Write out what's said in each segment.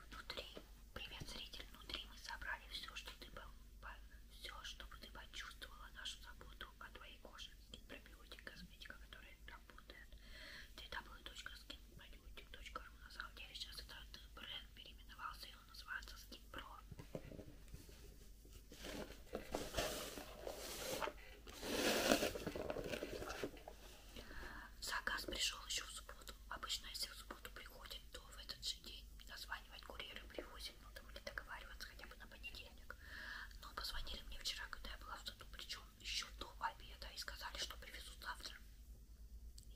Внутри, привет, зритель, внутри мы собрали все, что ты все, чтобы ты почувствовала нашу заботу о твоей коже. Скин пробиотик, косметика, которая работает. www.skinprodiotic.ru На самом деле сейчас этот бренд переименовался ее называется скипро. Заказ пришел еще в субботу. Обычно, если в субботу приходит, то в этот же день названивать курьеры привозят, но ну, там или договариваться хотя бы на понедельник. Но позвонили мне вчера, когда я была в саду, причем еще до обеда, и сказали, что привезут завтра.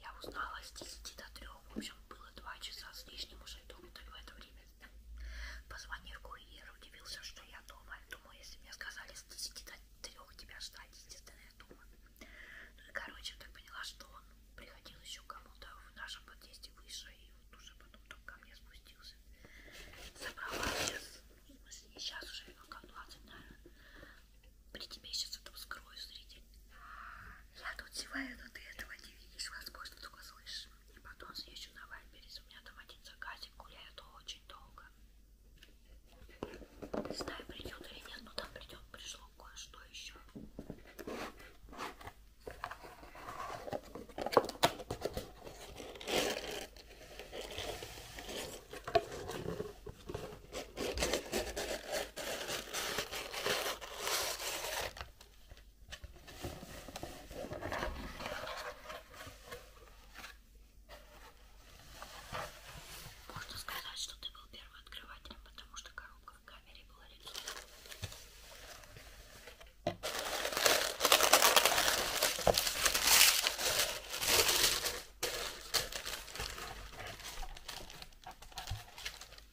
Я узнала с 10 до 3, в общем, было 2 часа с лишним уже дома, так в это время Позвонив курьер, удивился, что я дома. Думаю, если мне сказали с 10 до 3 тебя ждать, естественно, я дома. Ну и, короче, так поняла, что он приходил еще кому-то в нашем подъезде выше и вот уже потом только ко мне спустился. Собрала сейчас, в смысле, не сейчас уже, а как 20, наверное. При тебе сейчас это вскрою, зритель. Я тут зеваю, но ты этого не видишь, возможно, только слышишь хочешь. И потом съезжу на Вальберис. У меня там один заказик гуляет очень долго. Не знаю, придет или нет, но там придет, пришло кое-что еще. Можно сказать, что ты был первым открывателем, потому что коробка в камере была легкая.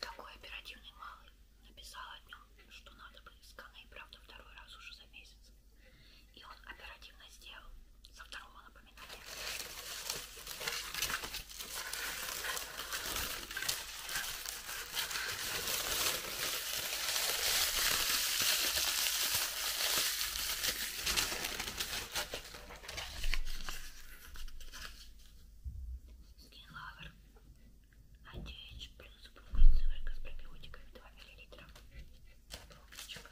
Такой оперативный малый написал о нем, что надо бы с Каной, правда, второй раз уже за месяц. И он оперативно сделал. За второго напоминания. Лавр. 9 плюс упругая сыворотка с пробиотиками 2 мл. Пробочка.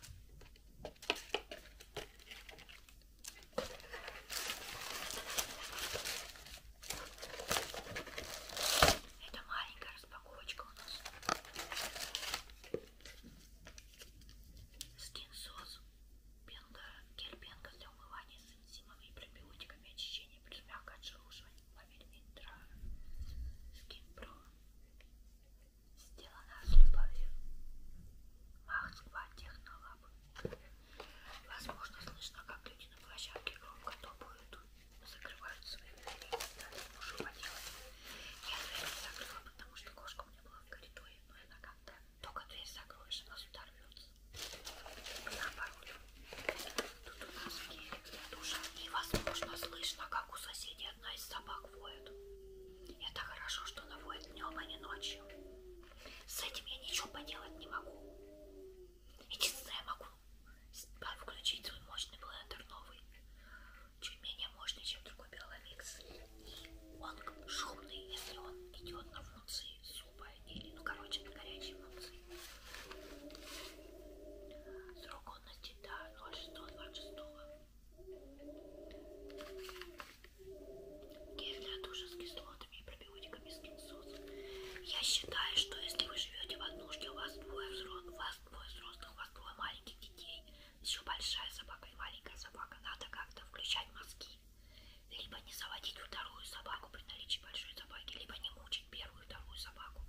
Это маленькая распаковочка у нас. Скинсос. Пенка, гель пенка для умывания с энзимами и пробиотиками, очищения плюс мягкое отшелушивание, помимо интра. Скинпро. Сделана с любовью. Махсква технолаб. Возможно, слышно, как люди на площадке громко топают, закрывают свои двери и так далее. Можу поделать. Я дверь не закрыла, потому что кошка у меня была в коридоре, но она как-то только дверь закроешь, она сюда рвется. Наоборот. Тут у нас гелик для душа. И, возможно, слышно, как у соседей одна из собак воет. Это хорошо, что она воет днем, а не ночью. С этим я ничего поделать не могу. Единственное, я могу включить свой мощный блендер новый. Чуть менее мощный, чем другой Беловикс. И он шумный, если он идет на функции супа или, ну, короче, на горячей функции. Срок годности до да, 06.26. Гель для душа с кислотами и пробиотиками скинсус. Я считаю, что если вы живете в однушке, у вас двое взрослых, у вас двое взрослых, у вас двое маленьких детей, еще большая собака и маленькая собака, надо как-то включать мозги. Либо не заводить вторую собаку при наличии большой собаки, либо не мучить первую и вторую собаку.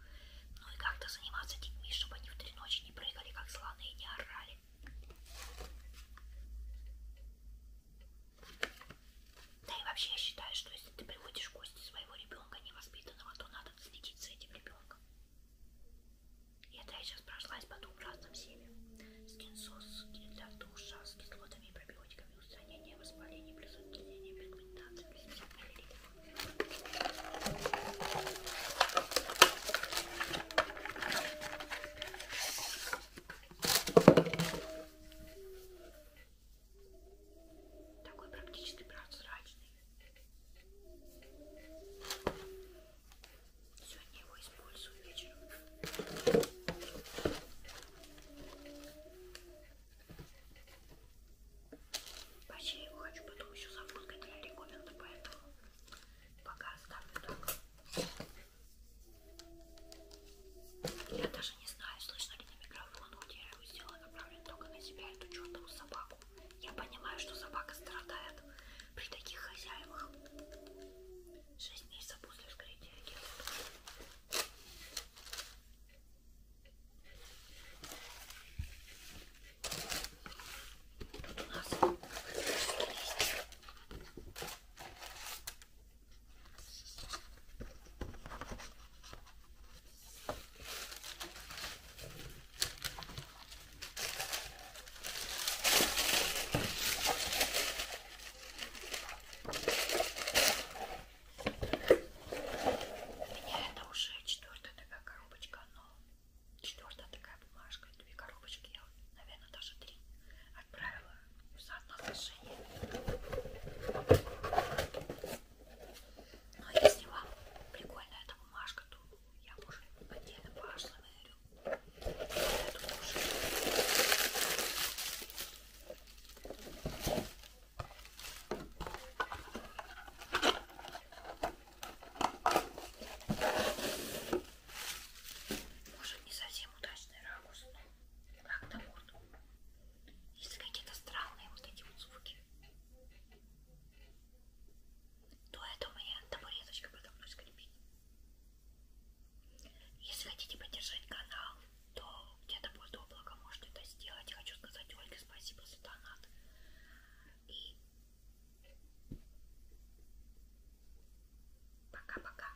Ну и как-то заниматься детьми, чтобы они в три ночи не прыгали, как слоны, и не орали. Да и вообще я считаю, что если ты приводишь в гости своего ребенка невоспитанного, то надо следить за этим ребенком. И это я сейчас прошлась по двум разным семьям. Скинсос, гель для душа с кислотами и пробиотиками, устранение воспалений, плюс отделение пигментации, плюс 50 мл. Такой практически прозрачный. Сегодня его использую вечером. Почти его хочу потом еще зафоткать для рекоменда, поэтому пока оставлю так. Я даже не знаю, слышно ли на микрофон, хоть я его сделала направлен только на себя, эту чертову собаку. Я понимаю, что собака страдает при таких хозяевах. Шесть месяцев после вскрытия агента. Тут у нас есть меня это уже четвертая такая коробочка, но четвертая такая бумажка, две коробочки, я, наверное, даже три отправила в соотношение. Но если вам прикольна эта бумажка, то я уже отдельно пошла наверю. Эту тоже. Может не совсем удачный ракурс, но как на морду. Если какие-то странные вот эти вот звуки, то это у меня табуреточка подо мной скрипит. Если хотите поддержать канал, то где-то будет облако, можете это сделать. Хочу сказать Ольге спасибо за донат. И пока-пока.